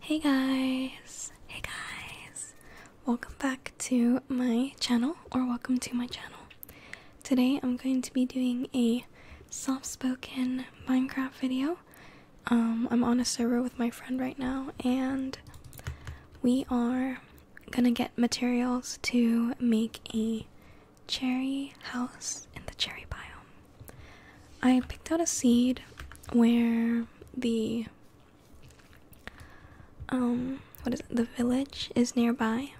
Hey guys, hey guys, welcome back to my channel or welcome to my channel. Today I'm going to be doing a soft spoken Minecraft video. Um, I'm on a server with my friend right now and we are gonna get materials to make a cherry house in the cherry biome. I picked out a seed where the um what is it? The village is nearby.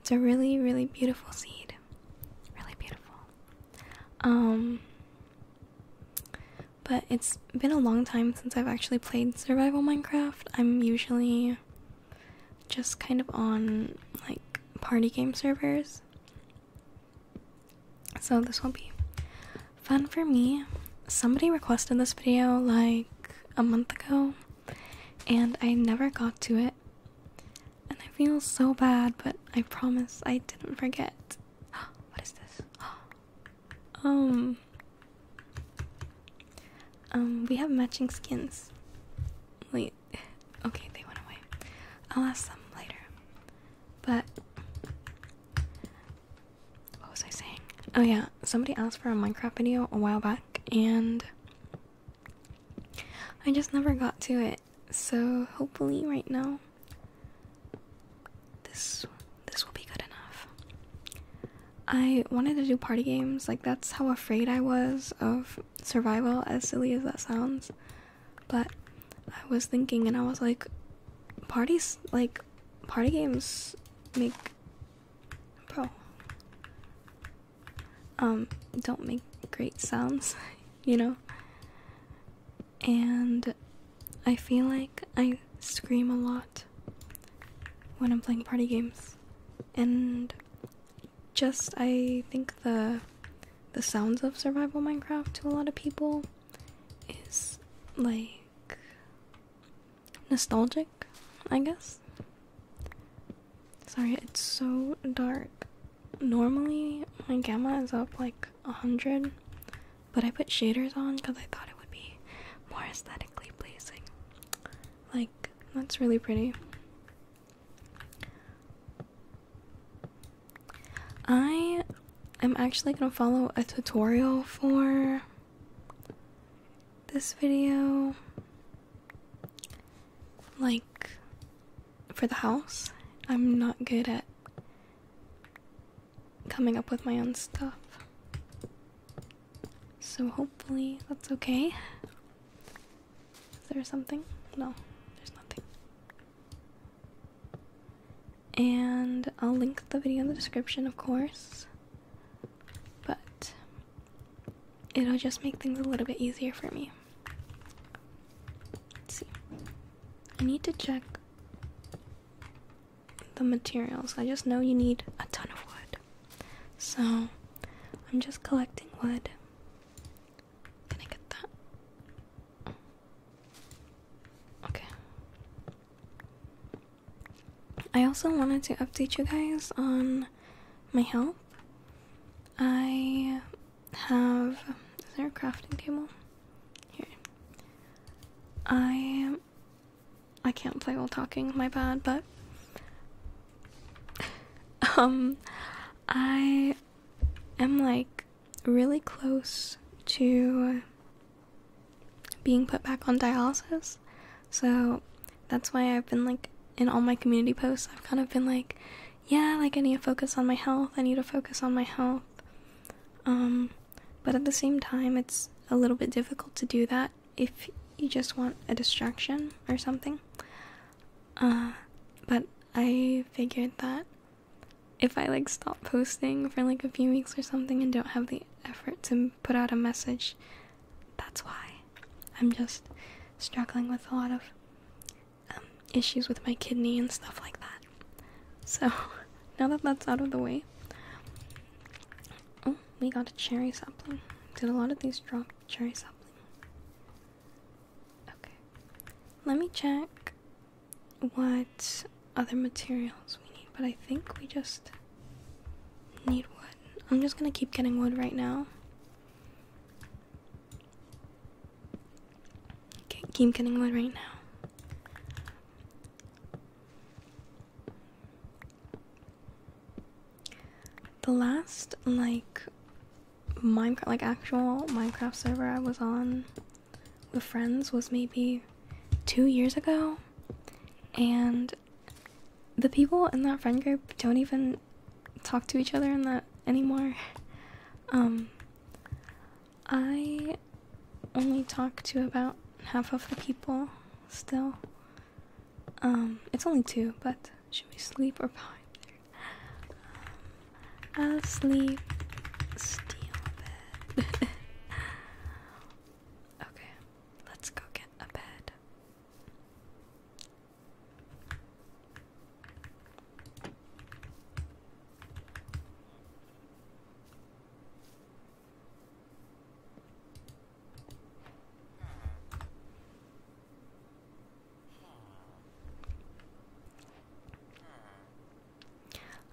It's a really really beautiful seed. Really beautiful. Um but it's been a long time since I've actually played survival Minecraft. I'm usually just kind of on like party game servers so this will be fun for me. Somebody requested this video like a month ago and I never got to it. And I feel so bad, but I promise I didn't forget. what is this? um Um we have matching skins. Wait, okay, they went away. I'll ask them later. But what was I saying? Oh yeah, somebody asked for a Minecraft video a while back and I just never got to it. So hopefully right now this this will be good enough. I wanted to do party games. Like that's how afraid I was of survival as silly as that sounds. But I was thinking and I was like parties like party games make pro um don't make great sounds, you know. And I feel like I scream a lot when I'm playing party games. And just I think the the sounds of survival Minecraft to a lot of people is like nostalgic, I guess. Sorry, it's so dark. Normally, my gamma is up like 100, but I put shaders on because I thought it would be more aesthetically pleasing. Like, that's really pretty. I am actually going to follow a tutorial for this video like for the house. I'm not good at coming up with my own stuff. So hopefully that's okay. Is there something? No, there's nothing. And I'll link the video in the description, of course. But it'll just make things a little bit easier for me. Let's see. I need to check the materials. I just know you need a ton of wood. So I'm just collecting wood can I get that? Okay. I also wanted to update you guys on my health. I have. Is there a crafting table? Here. I. I can't play while talking, my bad, but. um. I i am like really close to being put back on dialysis. So that's why I've been like in all my community posts, I've kind of been like, yeah, like I need to focus on my health, I need to focus on my health. Um, but at the same time, it's a little bit difficult to do that if you just want a distraction or something. Uh, but I figured that if I like stop posting for like a few weeks or something and don't have the effort to put out a message, that's why I'm just struggling with a lot of um, issues with my kidney and stuff like that. So now that that's out of the way, oh, we got a cherry sapling. Did a lot of these drop cherry sapling? Okay. Let me check what other materials we need, but I think we just need wood. I'm just gonna keep getting wood right now. keep getting wood right now. The last, like, Minecraft, like actual Minecraft server I was on with friends was maybe two years ago, and the people in that friend group don't even talk to each other in that anymore. Um, I only talk to about half of the people still. Um, it's only two, but should we sleep or pine? Um, I'll sleep steal bed. okay, let's go get a bed.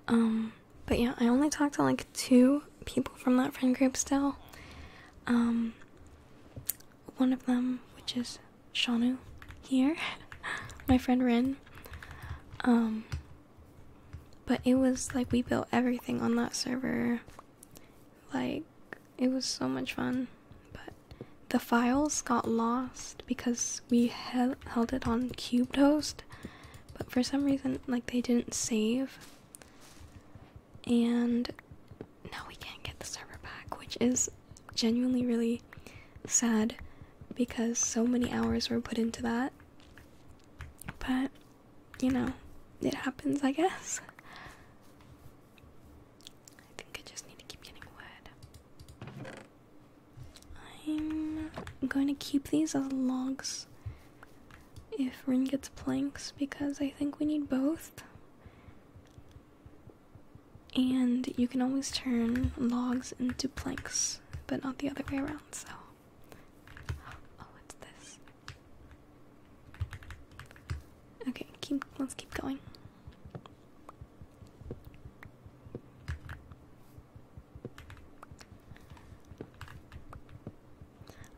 Um, but yeah, I only talked to like two people from that friend group still. Um, one of them, which is Shanu here, my friend Rin. Um, but it was like we built everything on that server. Like, it was so much fun. But the files got lost because we held it on CubeHost, but for some reason, like they didn't save, and now we can't get the server back, which is genuinely really sad because so many hours were put into that. But you know, it happens, I guess. I think I just need to keep getting wood. I'm going to keep these as logs if Rin gets planks because I think we need both. And you can always turn logs into planks, but not the other way around, so. Oh, what's this? Okay, let's keep going.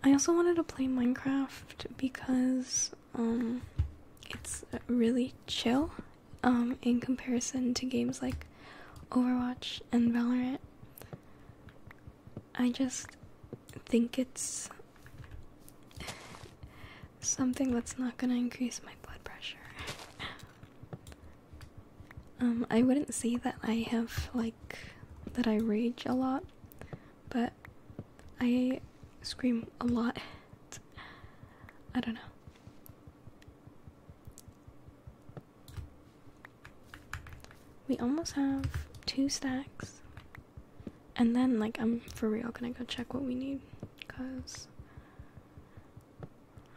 I also wanted to play Minecraft because um it's really chill um in comparison to games like Overwatch and Valorant. I just think it's something that's not going to increase my blood pressure. Um, I wouldn't say that I have like that I rage a lot, but I scream a lot. I don't know. We almost have two stacks. And then, like, I'm for real gonna go check what we need. Because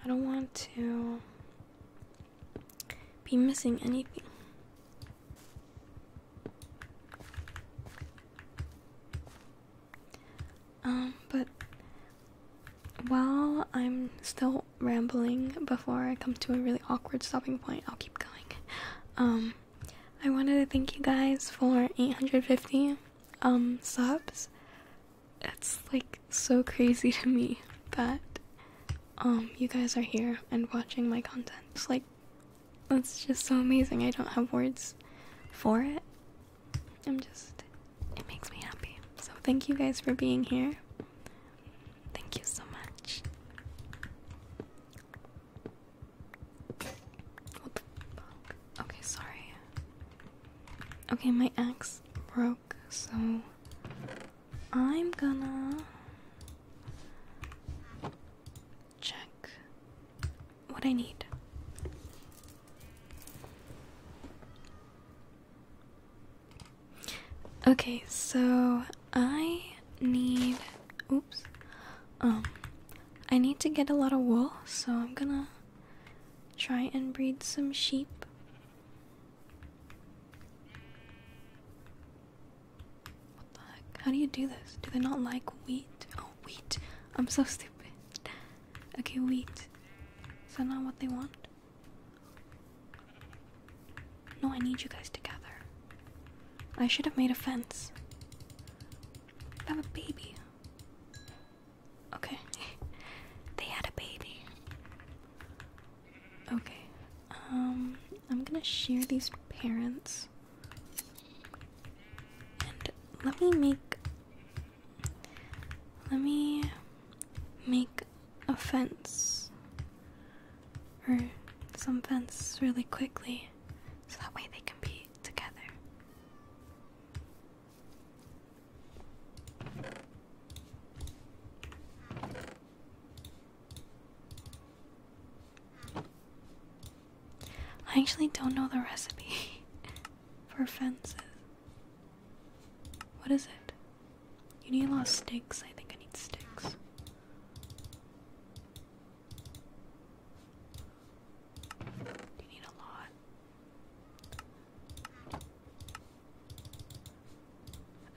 I don't want to be missing anything. Um, but while I'm still rambling before I come to a really awkward stopping point, I'll keep going. Um, I wanted to thank you guys for 850 um subs it's like so crazy to me that um you guys are here and watching my content. It's like that's just so amazing. I don't have words for it. I'm just it makes me happy. So thank you guys for being here. Thank you so much. Okay, sorry. Okay, my ex broke, so I'm gonna check what I need. Okay, so I need oops. Um I need to get a lot of wool, so I'm gonna Try and breed some sheep. What the heck? How do you do this? Do they not like wheat? Oh, wheat. I'm so stupid. Okay, wheat. Is that not what they want? No, I need you guys together. I should have made a fence. I have a baby. Okay. they had a baby. Okay. Um, I'm gonna share these parents. And let me make. Let me make a fence. Or some fence really quickly. So that way they can be together. I actually don't know the recipe for fences. What is it? You need a lot of sticks. I think I need sticks. You need a lot.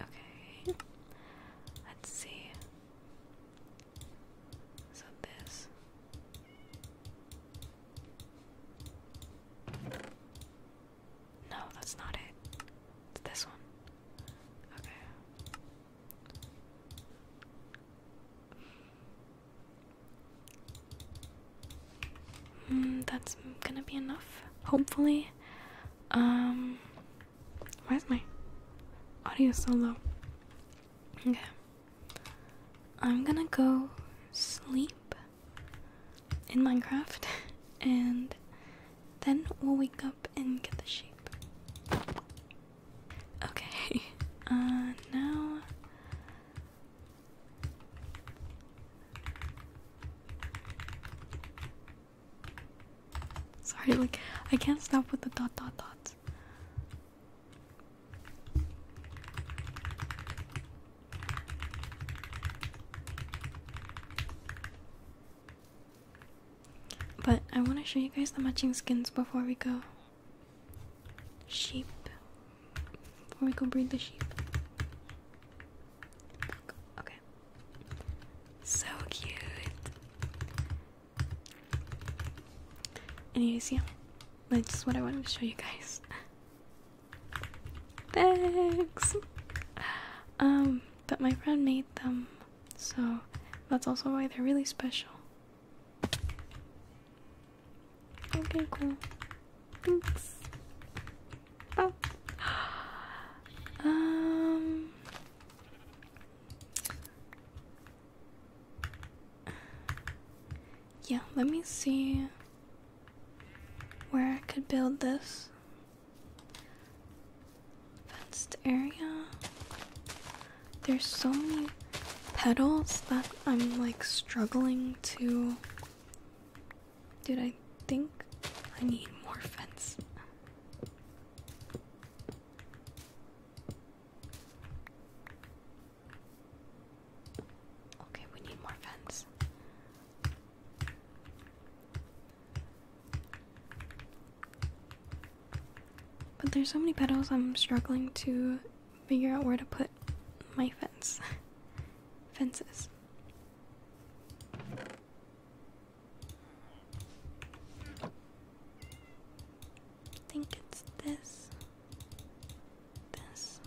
Okay. Let's see. So this. No, that's not it. It's this one. Okay. Hmm, that's gonna be enough, hopefully. Um, why is my audio so low? Okay. I'm gonna go sleep in Minecraft and then we'll wake up and get the sheep. Okay, uh, now Sorry, like I can't stop with the dot dot dots. But I want to show you guys the matching skins before we go. Sheep before we go breed the sheep. Look, okay. So cute. Anyways, yeah, that's what I wanted to show you guys. Thanks. Um, but my friend made them, so that's also why they're really special. Okay, cool. Oops. Oh. Um. Yeah, let me see where I could build this fenced area. There's so many petals that I'm like struggling to Dude, I think I need more fence. Okay, we need more fence. But there's so many petals, I'm struggling to figure out where to put my fence. Fences. I think it's this, this,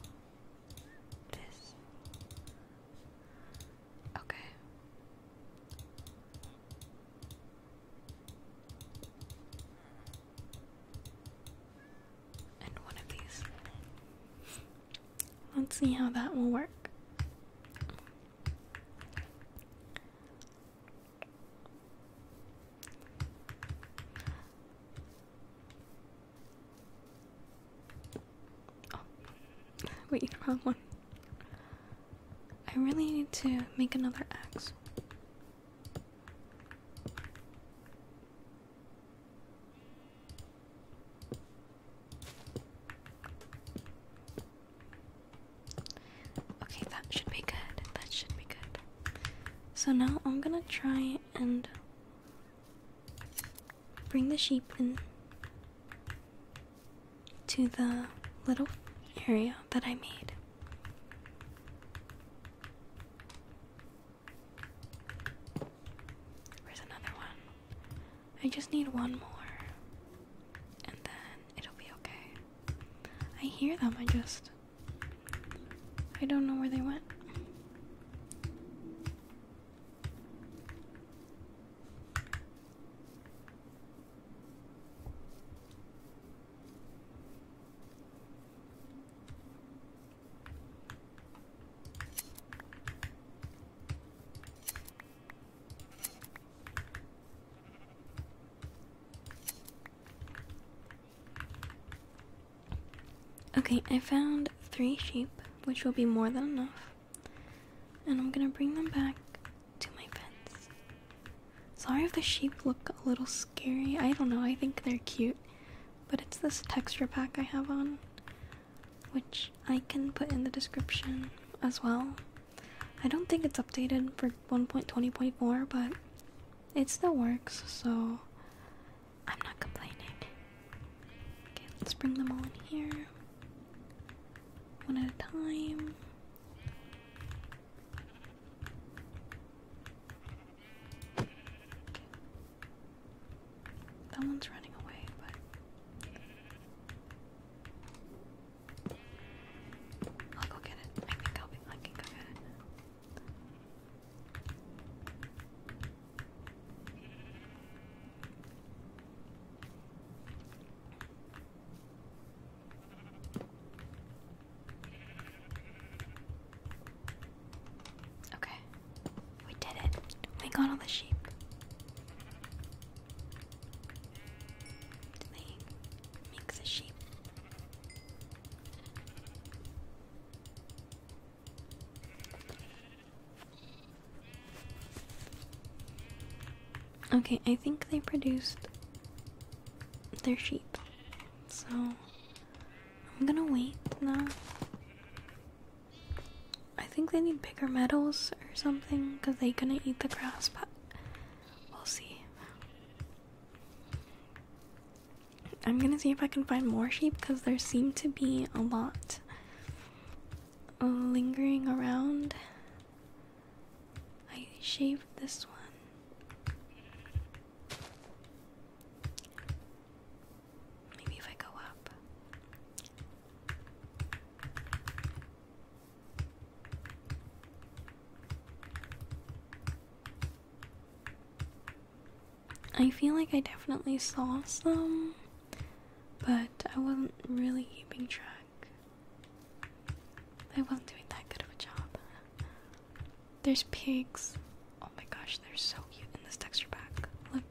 this. Okay. And one of these. Let's see how that will work. Oh, wait, wrong one. I really need to make another axe. Okay, that should be good. That should be good. So now I'm gonna try and bring the sheep in to the little area that I made. Where's another one? I just need one more. And then it'll be okay. I hear them, I just. I don't know where they went. Okay, I found three sheep, which will be more than enough. And I'm gonna bring them back to my fence. Sorry if the sheep look a little scary. I don't know, I think they're cute. But it's this texture pack I have on which I can put in the description as well. I don't think it's updated for 1.20.4, but it still works, so I'm not complaining. Okay, let's bring them all in here. One at a time. That one's running away, but I'll go get it. I think I'll be I can go get it. Okay, we did it. We got all the sheep. They mix sheep. Okay, I think they produced their sheep. So I'm gonna wait now. I think they need bigger medals or something because they couldn't eat the grass, but we'll see. I'm gonna see if I can find more sheep because there seem to be a lot lingering around. I shaved this one. Maybe if I go up. I feel like I definitely saw some, but I wasn't really keeping track. I wasn't doing that good of a job. There's pigs. Oh my gosh, they're so cute in this texture pack. Look.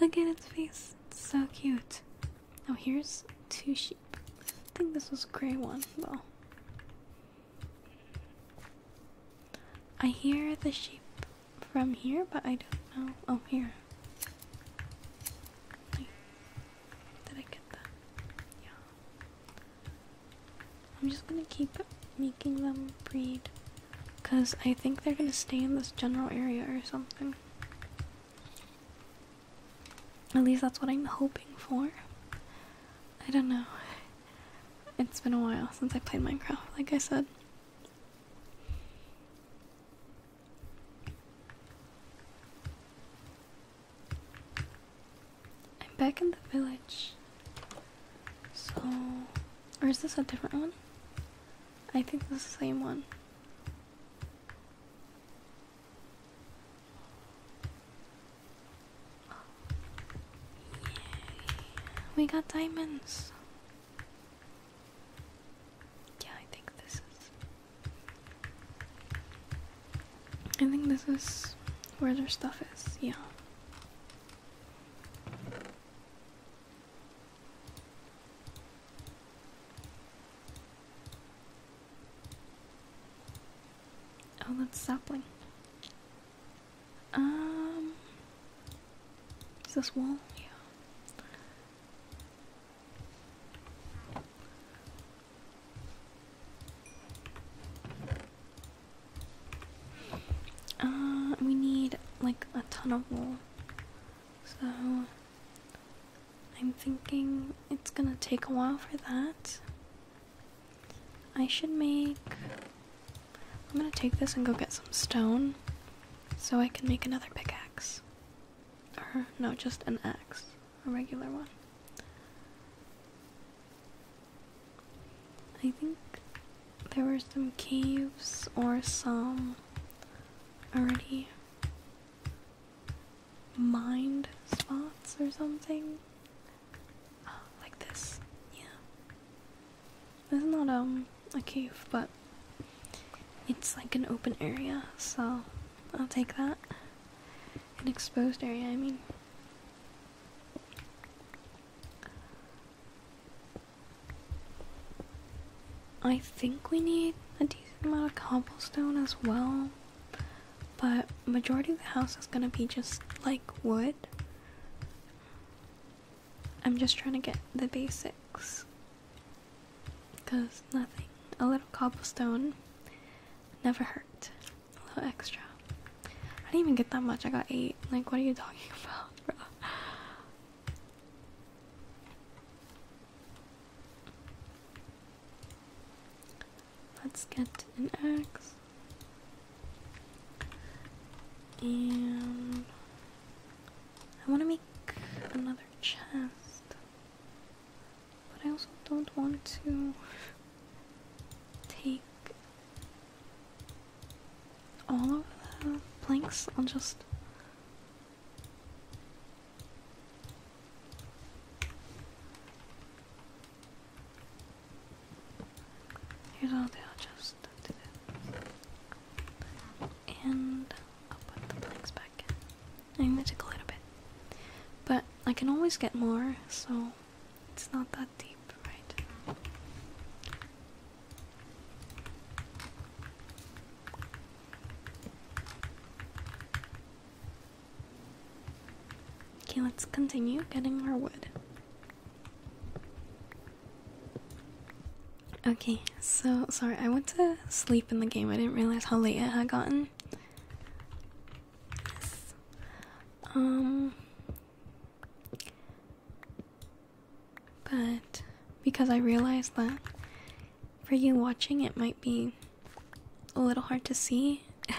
Look at its face. so cute. Oh, here's two sheep. I think this was gray one, though. I hear the sheep from here, but I don't know. Oh, here. Did I get that? Yeah. I'm just gonna keep making them breed. Because I think they're gonna stay in this general area or something. At least that's what I'm hoping for. I don't know. It's been a while since I played Minecraft, like I said. I'm back in the village. So. Or is this a different one? I think it's the same one. Yay. We got diamonds. Yeah, I think this is. I think this is where their stuff is, yeah. Oh, that's sapling. Um, is this wool? Yeah. Uh, we need like a ton of wool, so. I'm thinking it's gonna take a while for that. I should make. I'm gonna take this and go get some stone so I can make another pickaxe. Or, no, just an axe. A regular one. I think there were some caves or some already mind spots or something. Uh, like this, yeah. This not um a cave, but it's like an open area, so I'll take that. An exposed area, I mean. I think we need a decent amount of cobblestone as well. But majority of the house is gonna be just like wood. I'm just trying to get the basics. Cause nothing. A little cobblestone never hurt. A little extra. I didn't even get that much, I got eight. Like what are you talking about, bro? Let's get an axe and I want to make another chest, but I also don't want to take all of the planks. I'll just Here's all the adjustment to do. And I'll put the blanks back I'm to take a little bit. But I can always get more, so it's not that deep, right? Okay, let's continue getting more wood. Okay, so sorry, I went to sleep in the game. I didn't realize how late it had gotten. Um but because I realized that for you watching, it might be a little hard to see.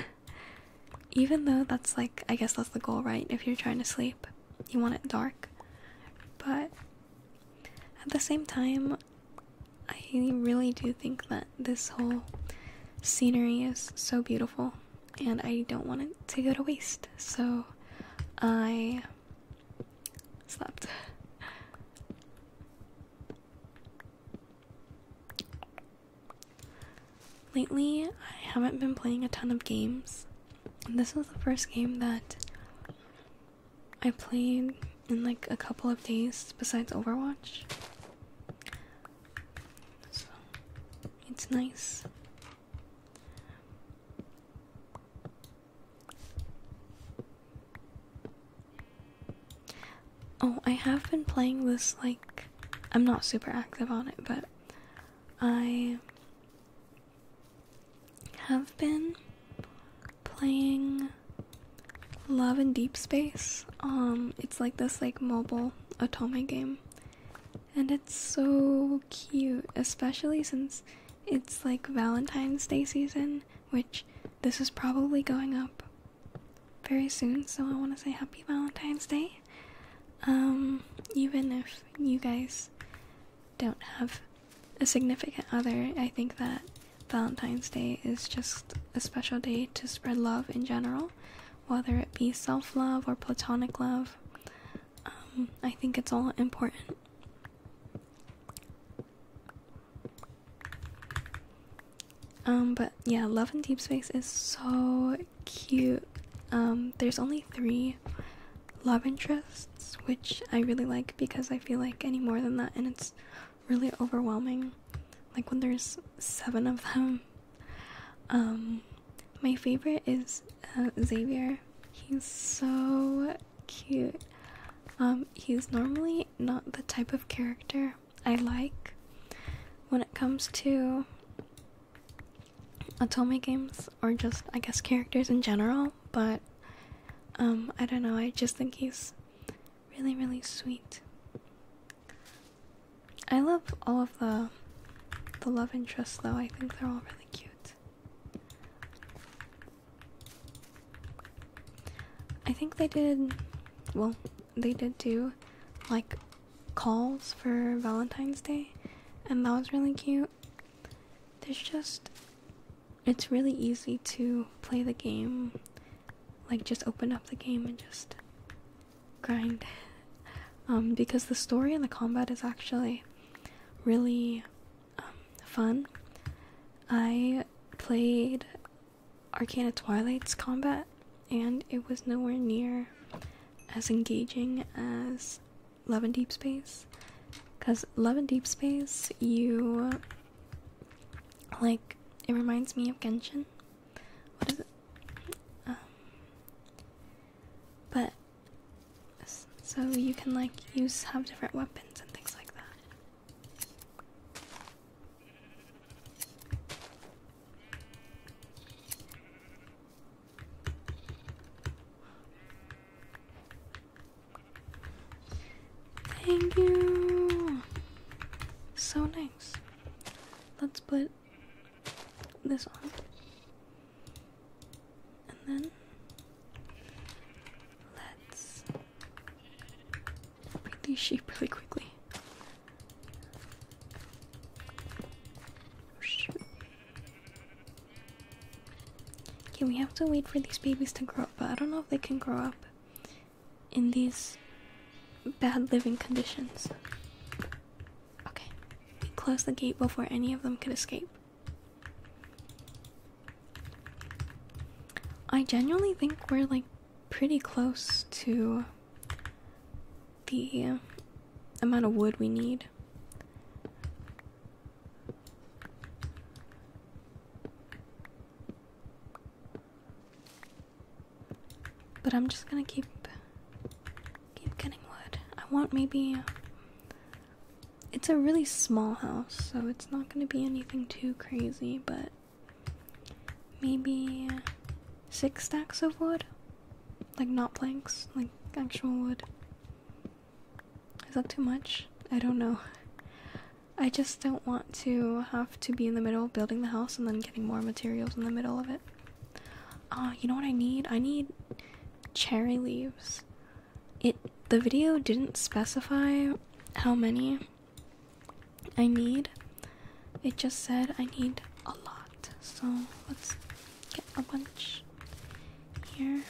Even though that's like, I guess that's the goal, right? If you're trying to sleep, you want it dark. But at the same time, I really do think that this whole scenery is so beautiful and I don't want it to go to waste. So I slept. Lately, I haven't been playing a ton of games. This was the first game that I played in like a couple of days besides Overwatch. So it's nice. Oh, I have been playing this like I'm not super active on it, but I have been playing Love and Deep Space. Um it's like this like mobile Otome game. And it's so cute, especially since it's like Valentine's Day season which this is probably going up very soon, so I want to say happy Valentine's Day. Um, even if you guys don't have a significant other, I think that Valentine's Day is just a special day to spread love in general, whether it be self love or platonic love. Um, I think it's all important. Um, but yeah, Love in Deep Space is so cute. Um, there's only three love interests, which I really like because I feel like any more than that, and it's really overwhelming. Like when there's seven of them. Um, my favorite is uh, Xavier. He's so cute. Um, he's normally not the type of character I like when it comes to Otome games or just, I guess, characters in general, but um, I don't know, I just think he's really, really sweet. I love all of the the love interests though. I think they're all really cute. I think they did, well, they did do like calls for Valentine's Day, and that was really cute. There's just, it's really easy to play the game, like just open up the game and just grind. Um, because the story and the combat is actually really um, fun. I played Arcana Twilight's combat, and it was nowhere near as engaging as Love and Deep Space. Because Love and Deep Space, you like it reminds me of Genshin. What is it? Um, but so you can like use have different weapons and things like that. Thank you. So nice. Let's put this on. And then let's these sheep really quickly. Oh, shoot. Okay, we have to wait for these babies to grow up, but I don't know if they can grow up in these bad living conditions. Okay, we closed the gate before any of them could escape. I genuinely think we're like pretty close to the amount of wood we need. But I'm just gonna keep keep getting wood. I want maybe it's a really small house, so it's not gonna be anything too crazy, but maybe six stacks of wood? Like, not planks, like actual wood. Is that too much? I don't know. I just don't want to have to be in the middle building the house and then getting more materials in the middle of it. Uh, you know what I need? I need cherry leaves. It the video didn't specify how many I need it just said I need a lot. So let's get a bunch here.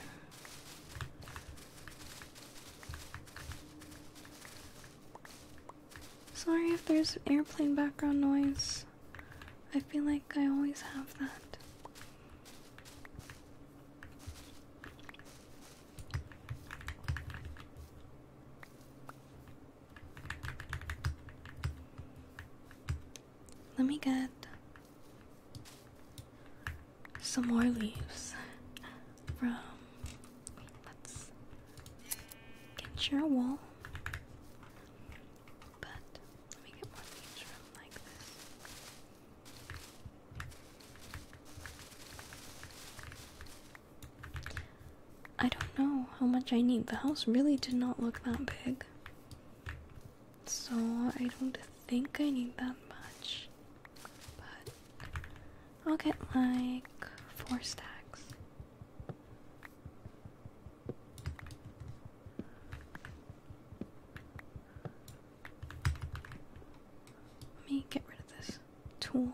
Sorry if there's airplane background noise. I feel like I always have that. Let me get some more leaves from. get your wall. But let me get more leaves from like this. I don't know how much I need. The house really did not look that big. So I don't think I need that much. But I'll get like four stacks. Let me get rid of this tool.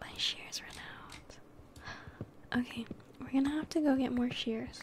My shears ran out. Okay, we're gonna have to go get more shears.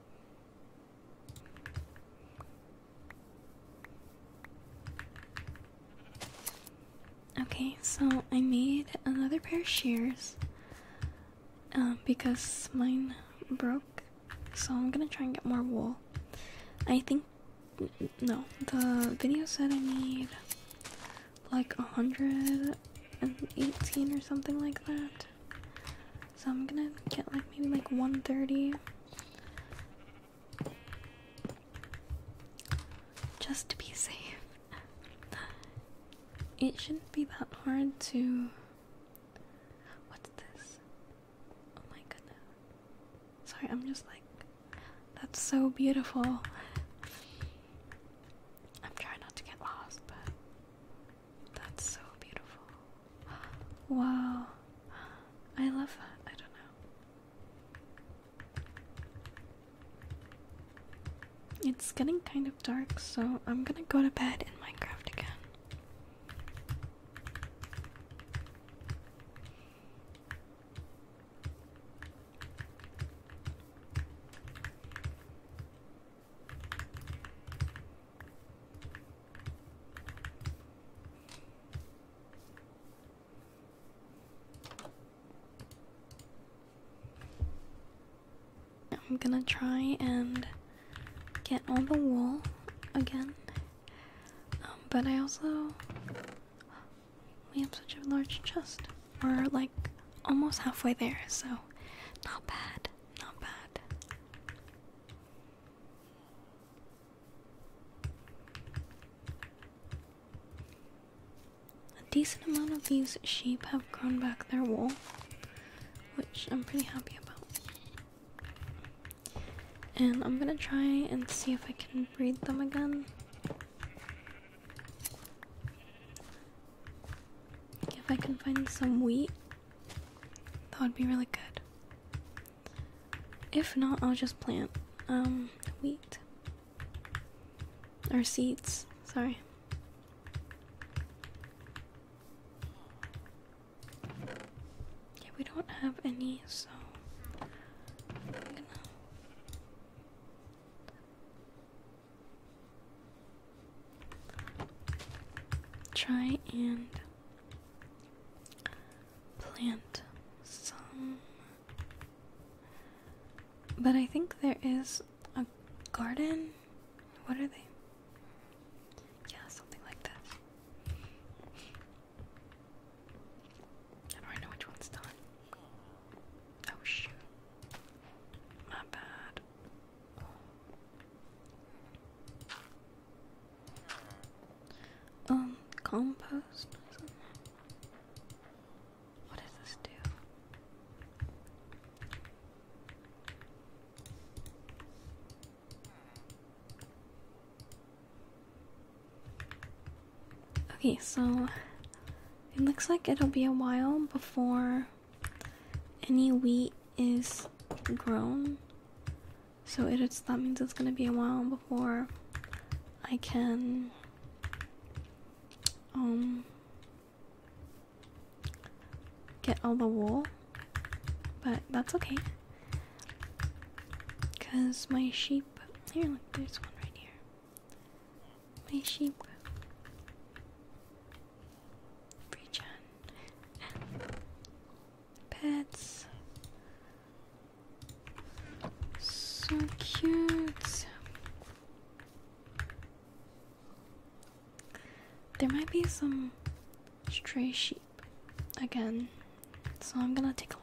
Okay, so I made another pair of shears um, because mine broke, so I'm gonna try and get more wool. I think no, the video said I need like 118 or something like that. So I'm gonna get like maybe like 1:30. Just to be safe. It shouldn't be that hard to. What's this? Oh my goodness. Sorry, I'm just like. That's so beautiful. I'm trying not to get lost, but that's so beautiful. Wow. I love that. I don't know. It's getting kind of dark, so I'm gonna go to bed in Minecraft again. I'm gonna try and get on the wall again. Um, but I also. We have such a large chest. We're like almost halfway there, so not bad, not bad. A decent amount of these sheep have grown back their wool, which I'm pretty happy about. And I'm gonna try and see if I can breed them again. If I can find some wheat, that would be really good. If not, I'll just plant um wheat or seeds. Sorry. Yeah, we don't have any, so try and plant some. But I think there is a garden. What are they? Yeah, something like that. I do know which one's done. Oh shoot. My bad. Um, compost What does this do? Okay, so it looks like it'll be a while before any wheat is grown. So it is, that means it's gonna be a while before I can um get all the wool. But that's okay. Cause my sheep here look there's one right here. My sheep Free John Pets. So cute. There might be some stray sheep again, so I'm gonna take a look.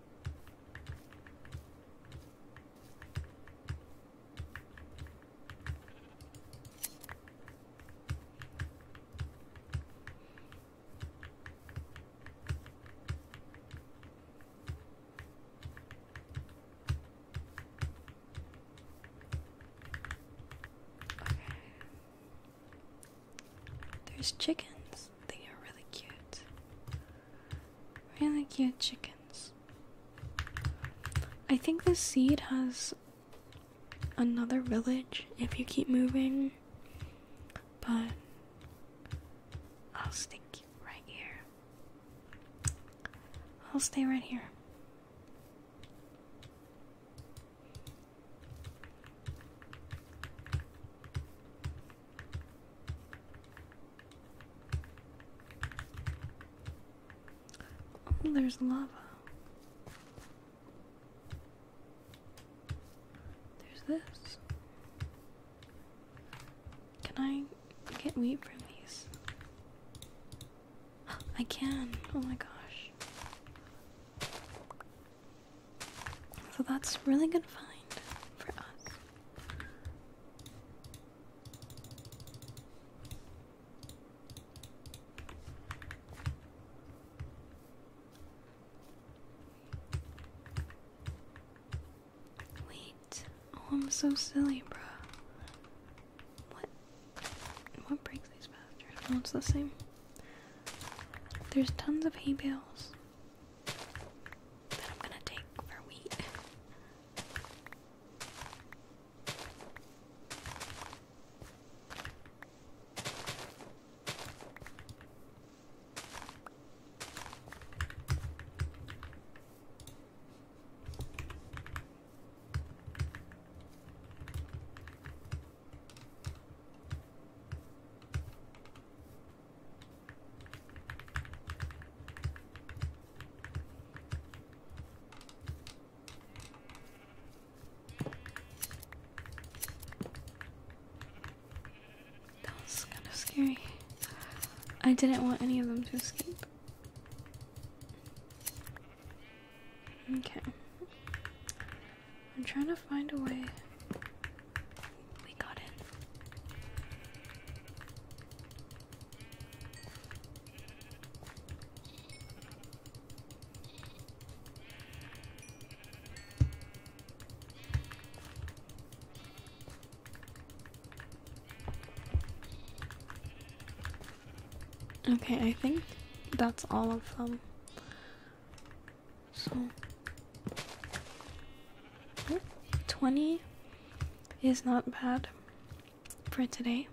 There's chickens. They are really cute. Really cute chickens. I think this seed has another village if you keep moving, but I'll stick right here. I'll stay right here. Oh, there's lava. There's this. Can I get wheat from these? I can. Oh my gosh. So that's really good find for us. Wait. Oh, I'm so silly, bro. What? What breaks these bastards? Oh, it's the same. There's tons of hay bales that I'm gonna take for wheat. That was kind of scary. I didn't want any of them to escape. Okay. I'm trying to find a way we got in. Okay, I think that's all of them. So 20 is not bad for today.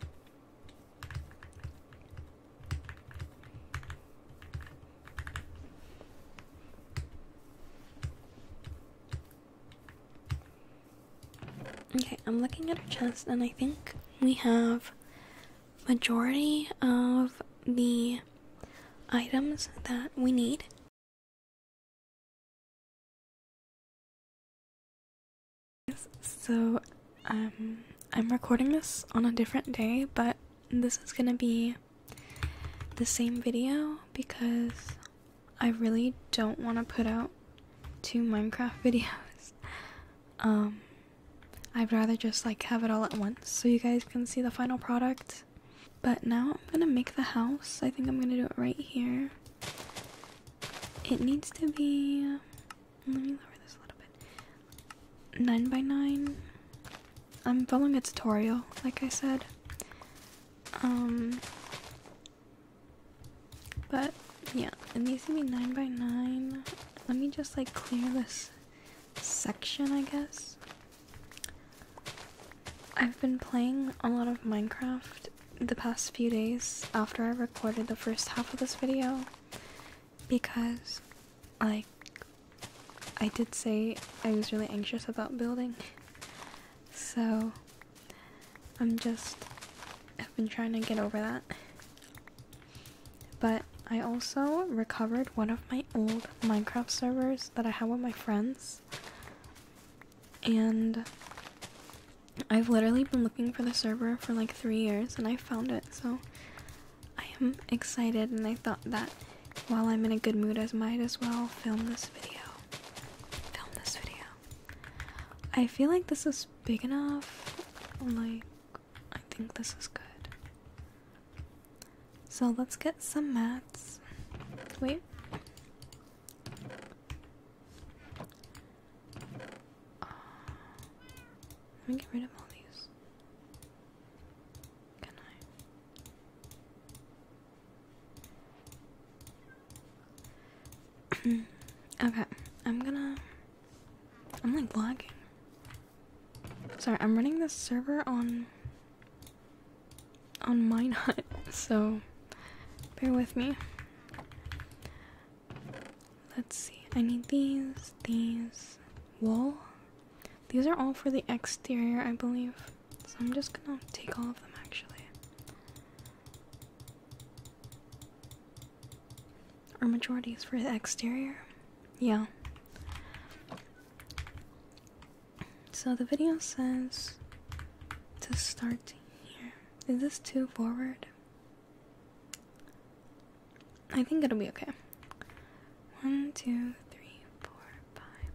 Okay, I'm looking at her chest and I think we have majority of the items that we need so, um, I'm recording this on a different day, but this is gonna be the same video because I really don't want to put out two Minecraft videos. Um, I'd rather just like have it all at once so you guys can see the final product. But now I'm gonna make the house. I think I'm gonna do it right here. It needs to be. Let me lower this a little bit. 9 by 9 I'm following a tutorial, like I said. Um. But yeah, it needs to be 9 by 9 Let me just like clear this section, I guess. I've been playing a lot of Minecraft the past few days after I recorded the first half of this video because, like, I did say I was really anxious about building. So, I'm just, I've been trying to get over that. But I also recovered one of my old Minecraft servers that I had with my friends and I've literally been looking for the server for like three years and I found it, so I am excited. And I thought that while I'm in a good mood, I might as well film this video. Film this video. I feel like this is big enough. Like, I think this is good. So let's get some mats. Wait let me get rid of all these. Can I? okay, I'm gonna. I'm like vlogging. Sorry, I'm running this server on on mine nut, so bear with me. Let's see, I need these, these, wool. These are all for the exterior, I believe. So I'm just gonna take all of them actually. Our majority is for the exterior. Yeah. So the video says to start here. Is this too forward? I think it'll be okay. One, two, three, four, five,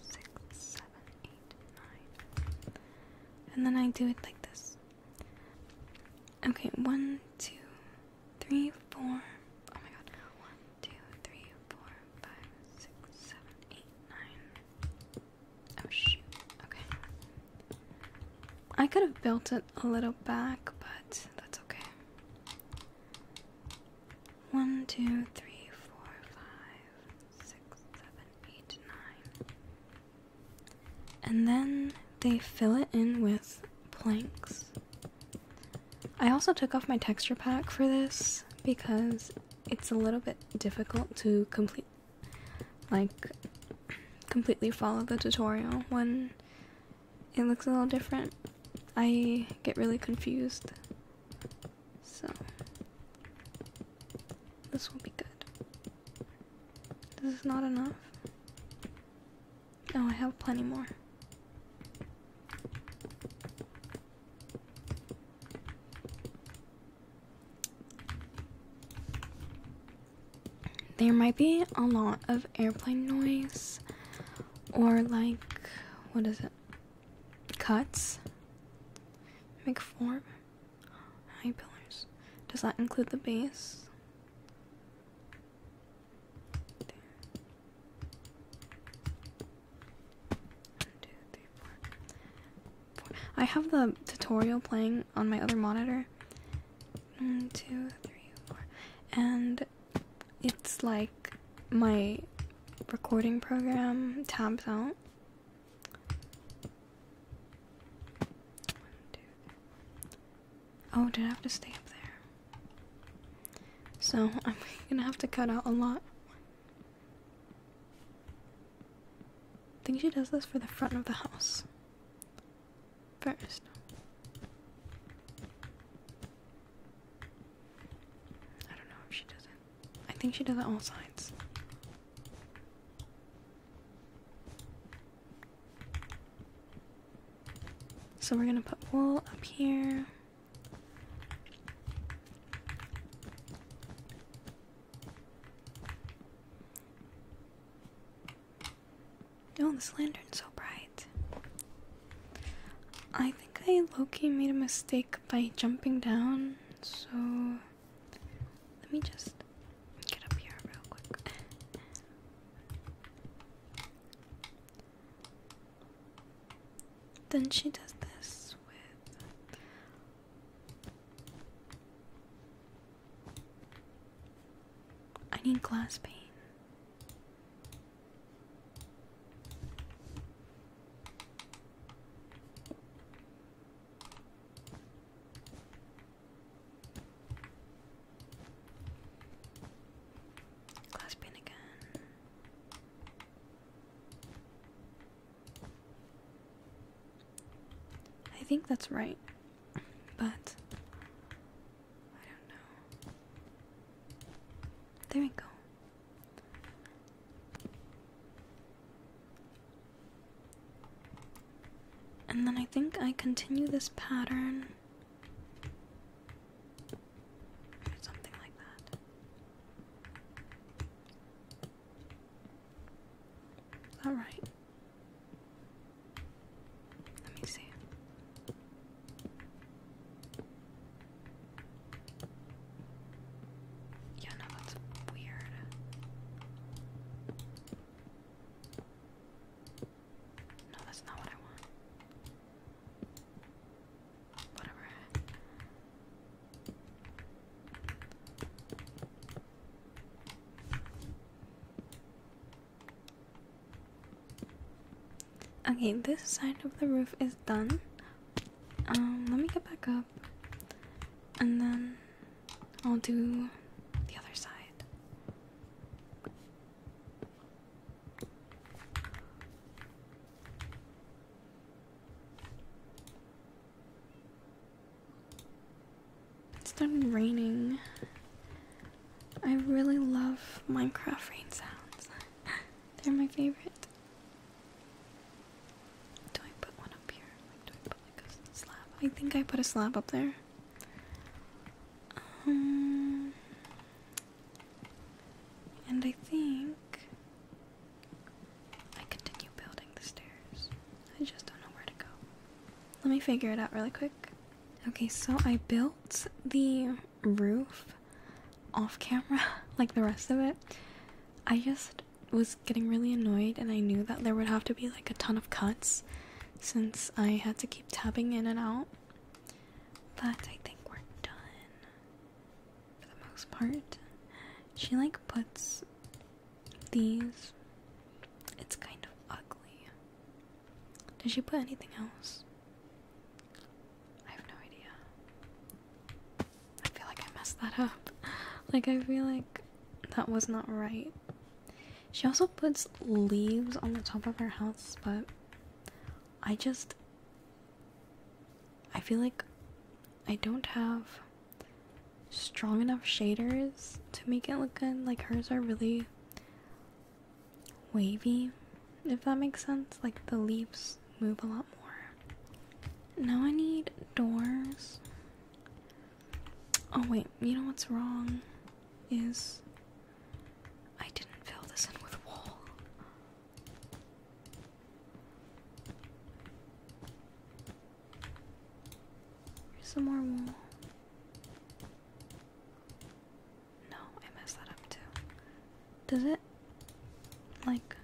six, seven, eight, nine. And then I do it like this. Okay, one, two, three, four. Oh my god. One, two, three, four, five, six, seven, eight, nine. Oh, okay. I could have built it a little back, but that's okay. One, two, three, four, five, six, seven, eight, nine. And then they fill it in with planks. I also took off my texture pack for this because it's a little bit difficult to complete like completely follow the tutorial when it looks a little different. I get really confused. So this will be good. This is not enough. Oh, I have plenty more. There might be a lot of airplane noise or like what is it? Cuts. Make form. pillars. Does that include the base? One, two, three, four. I have the tutorial playing on my other monitor. One, two, three, four. And it's like my recording program tabs out. Oh, did I have to stay up there? So I'm gonna have to cut out a lot. I think she does this for the front of the house first. I don't know if she does it. I think she does it all sides. So we're gonna put wool up here. Oh, this lantern's so bright. I think I Loki made a mistake by jumping down, so let me just get up here real quick. Then she does this with I need glass pane. Glass pane again. I think that's right, but I don't know. There we go. And then I think I continue this pattern or something like that. All right. Let me see. Yeah, no, that's weird. No, that's not what I want. Whatever. Okay, this side of the roof is done. Um, let me get back up and then I'll do the other side. It's started raining. I really love Minecraft rain sounds. They're my favorite. Do I put one up here? do I put a slab? I think I put a slab up there. Um, and I think I continue building the stairs. I just don't know where to go. Let me figure it out really quick. Okay, so I built the roof off camera, like the rest of it. I just was getting really annoyed, and I knew that there would have to be like a ton of cuts since I had to keep tabbing in and out. But I think we're done for the most part. She like puts these. It's kind of ugly. Did she put anything else? I have no idea. I feel like I messed that up. Like, I feel like that was not right. She also puts leaves on the top of her house, but I just. I feel like I don't have strong enough shaders to make it look good. Like hers are really wavy, if that makes sense. Like the leaves move a lot more. Now I need doors. Oh wait, you know what's wrong is I didn't fill this in with wool. Here's some more wool. No, I messed that up too. Does it like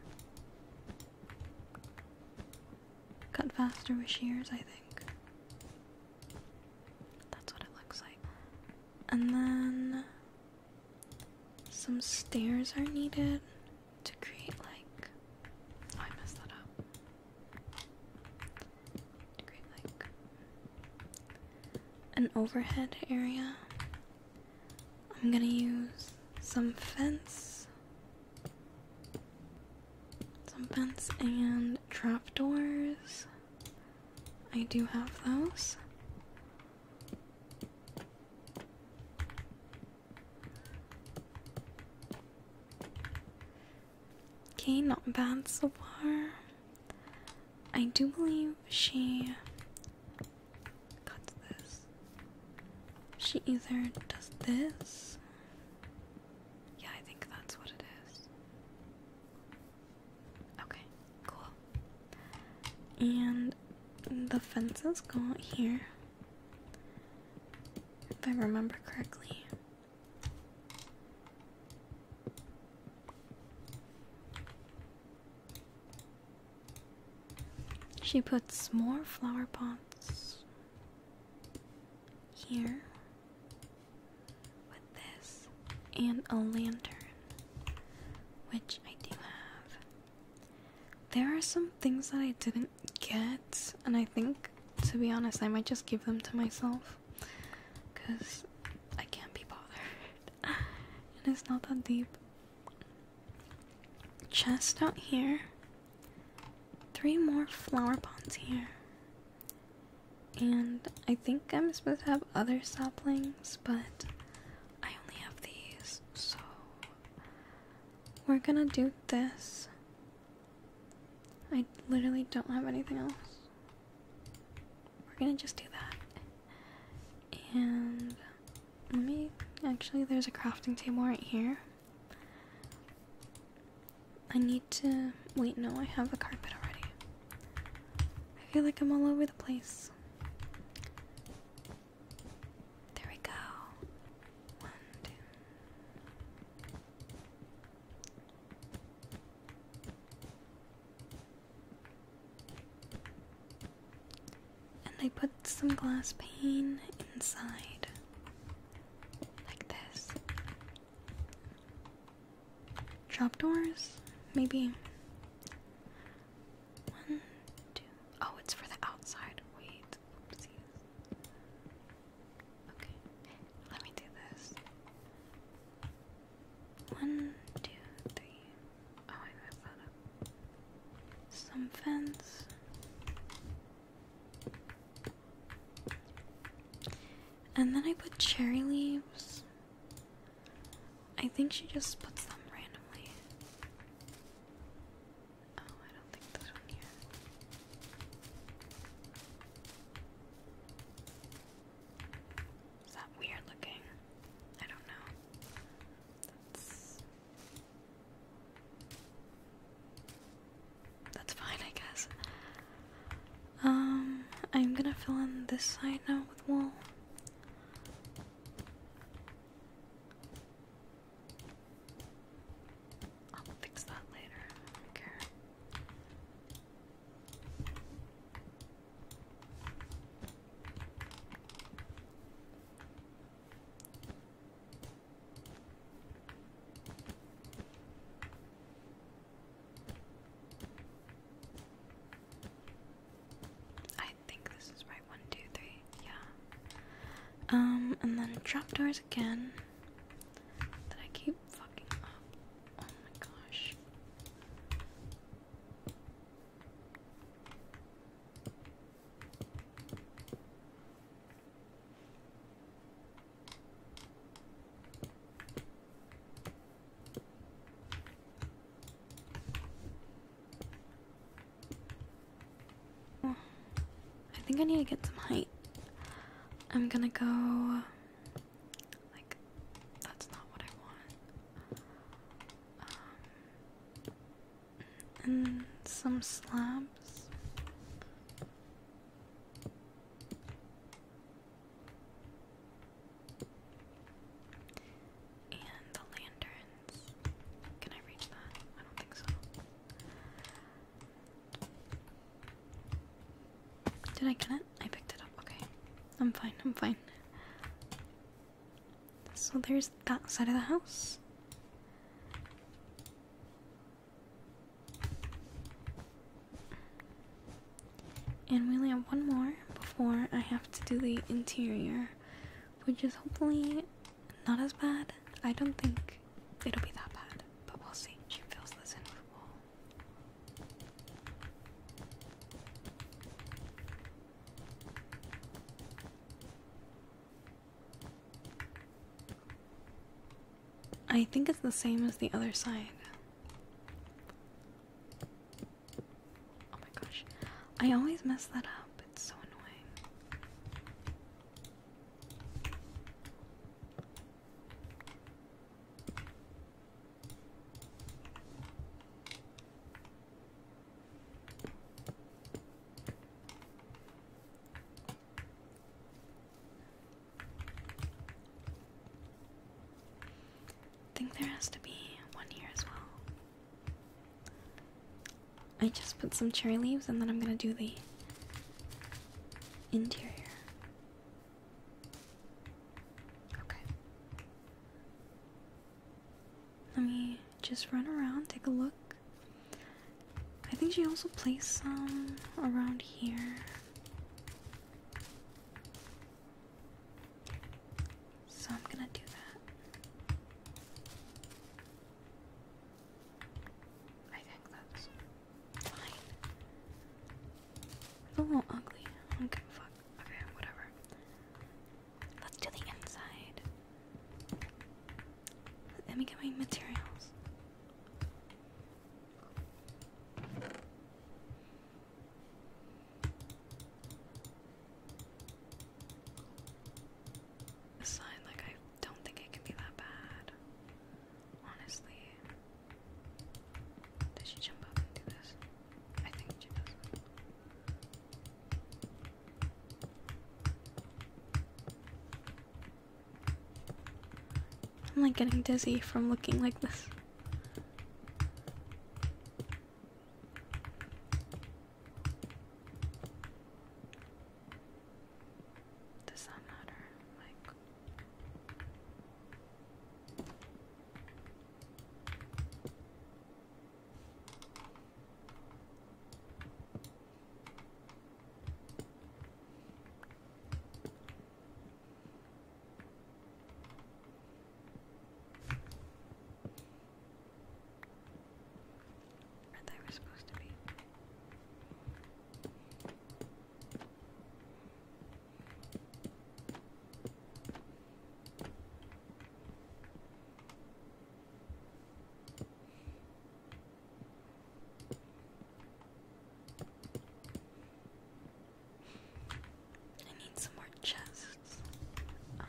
cut faster with shears? I think that's what it looks like. And then some stairs are needed to create like. Oh, I messed that up an overhead area. I'm gonna use some fence, some fence and trapdoors. I do have those. Okay, not bad so far. I do believe she cuts this. She either does this. Yeah, I think that's what it is. Okay, cool. And the fences go out here. If I remember correctly. She puts more flower pots here with this and a lantern, which I do have. There are some things that I didn't um, get, and I think, to be honest, I might just give them to myself, because I can't be bothered, and it's not that deep. Chest out here, three more flower pots here, and I think I'm supposed to have other saplings, but I only have these, so we're gonna do this I literally don't have anything else. We're gonna just do that. And let me actually, there's a crafting table right here. I need to. Wait, no, I have a carpet already. I feel like I'm all over the place. There we go. One, two. And I put some glass pane inside, like this. Trapdoors? Maybe. One, two. Oh, it's for the outside. Wait. Oopsies. Okay, let me do this. One, two, three. Oh, I messed that up. Some fence. And then I put cherry leaves. I think she just puts them randomly. Oh, I don't think this one here. Is that weird looking? I don't know. That's that's fine, I guess. Um, I'm gonna fill in this side now with wool. I'll fix that later. I don't care. I think this is right. One, two, three. Yeah. Um, and then trapdoors again that I keep fucking up. Oh my gosh. I think I need to get some height. I'm gonna go like that's not what I want. Um, and some slabs. And the lanterns. Can I reach that? I don't think so. Did I get it? I picked it up. Okay. I'm fine. I'm fine. So there's that side of the house. And we only have one more before I have to do the interior, which is hopefully not as bad. I don't think it'll be that bad, but we'll see. She fills this in with wall. I think it's the same as the other side. Oh my gosh. I always mess that up. It's so annoying. I think there has to be one here as well. I just put some cherry leaves and then I'm gonna do the interior. Okay. Let me just run around, take a look. I think she also placed some around here. So I'm gonna do that. I think that's Oh, ugly. Okay, whatever. Let's do the inside. Let me get my materials. Aside, like I don't think it can be that bad. Honestly. Does she jump up and do this? I think she does. I'm like getting dizzy from looking like this. Does that matter? Like where they were supposed to be. I need some more chests. Um,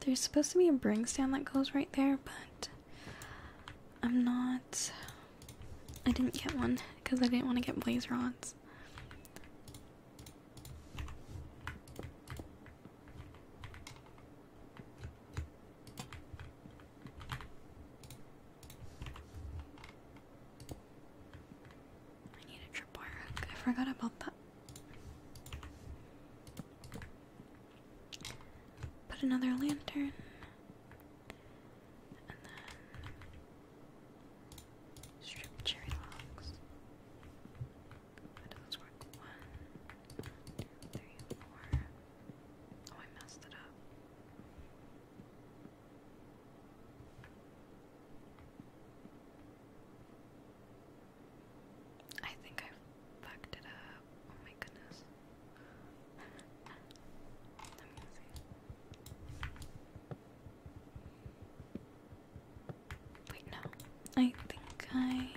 there's supposed to be a bring stand that goes right there, but I'm not. I didn't get one because I didn't want to get blaze rods. I need a tripwire I forgot about that. Put another lantern. And then strip cherry logs. How do those work? One, two, three, four. Oh, I messed it up. I think I fucked it up. Oh Wait, no. I think I.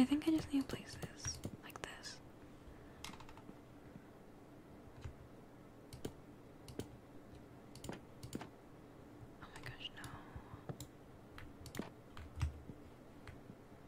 I think I just need to place this like this. Oh my gosh, no.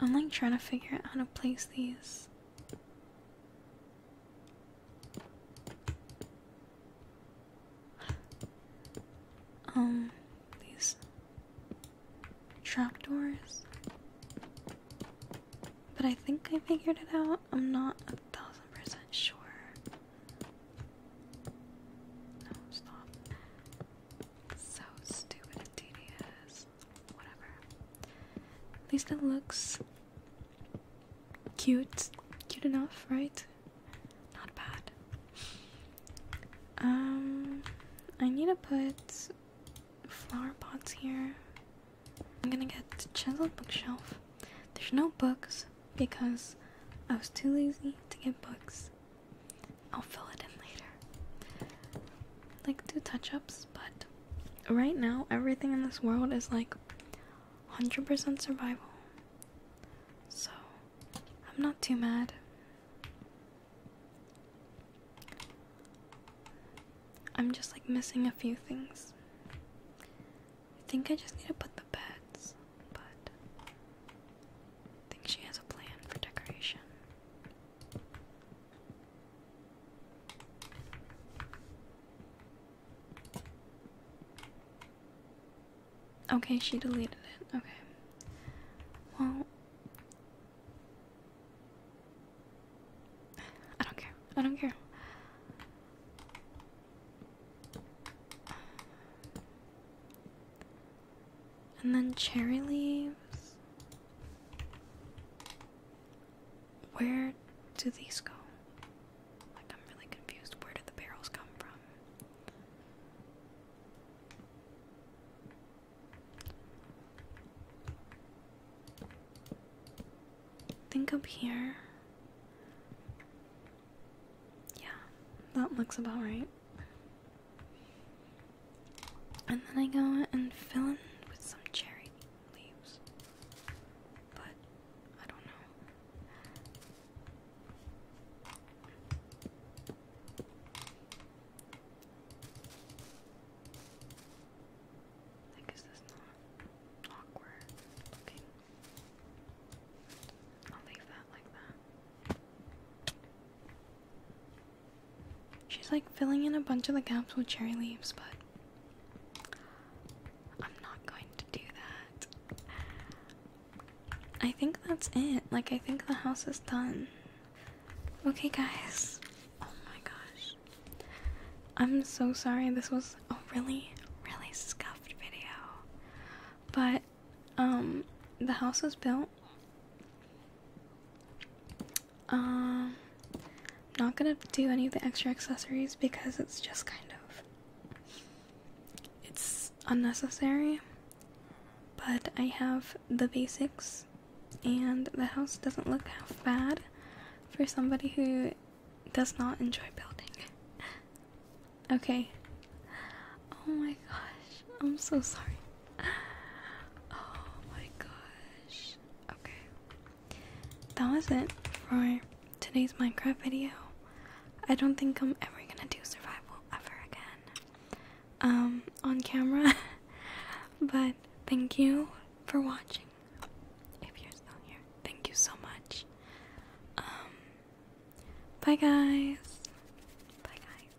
I'm like trying to figure out how to place these. Um, these trapdoors. But I think I figured it out. I'm not a thousand percent sure. No, stop. So stupid and whatever. At least it looks cute. Cute enough, right? Not bad. Um, I need to put flower pots here. I'm gonna get the chiseled bookshelf. There's no books because I was too lazy to get books. I'll fill it in later like do touch ups, but right now everything in this world is like 100% survival. So I'm not too mad. I'm just like missing a few things. I think I just need to put the beds, but I think she has a plan for decoration. Okay, she deleted it. Okay. Well, I don't care. I don't care. And then cherry leaves. Where do these go? Like, I'm really confused. Where did the barrels come from? Think up here. Yeah, that looks about right. And then I go and fill in with some cherry leaves. But I don't know. Like, is this not awkward looking? I'll leave that like that. She's like filling in a bunch of the gaps with cherry leaves, but I'm not going to do that. I think that's it. Like, I think the house is done. Okay, guys. Oh my gosh. I'm so sorry. This was a really, really scuffed video. But, um, the house was built. Um, not gonna do any of the extra accessories because it's just kind of it's unnecessary. But I have the basics, and the house doesn't look half bad for somebody who does not enjoy building. okay. Oh my gosh, I'm so sorry. Oh my gosh. Okay. That was it for today's Minecraft video. I don't think I'm ever gonna do survival ever again. Um, on camera. but thank you for watching. If you're still here, thank you so much. Um, bye guys. Bye guys.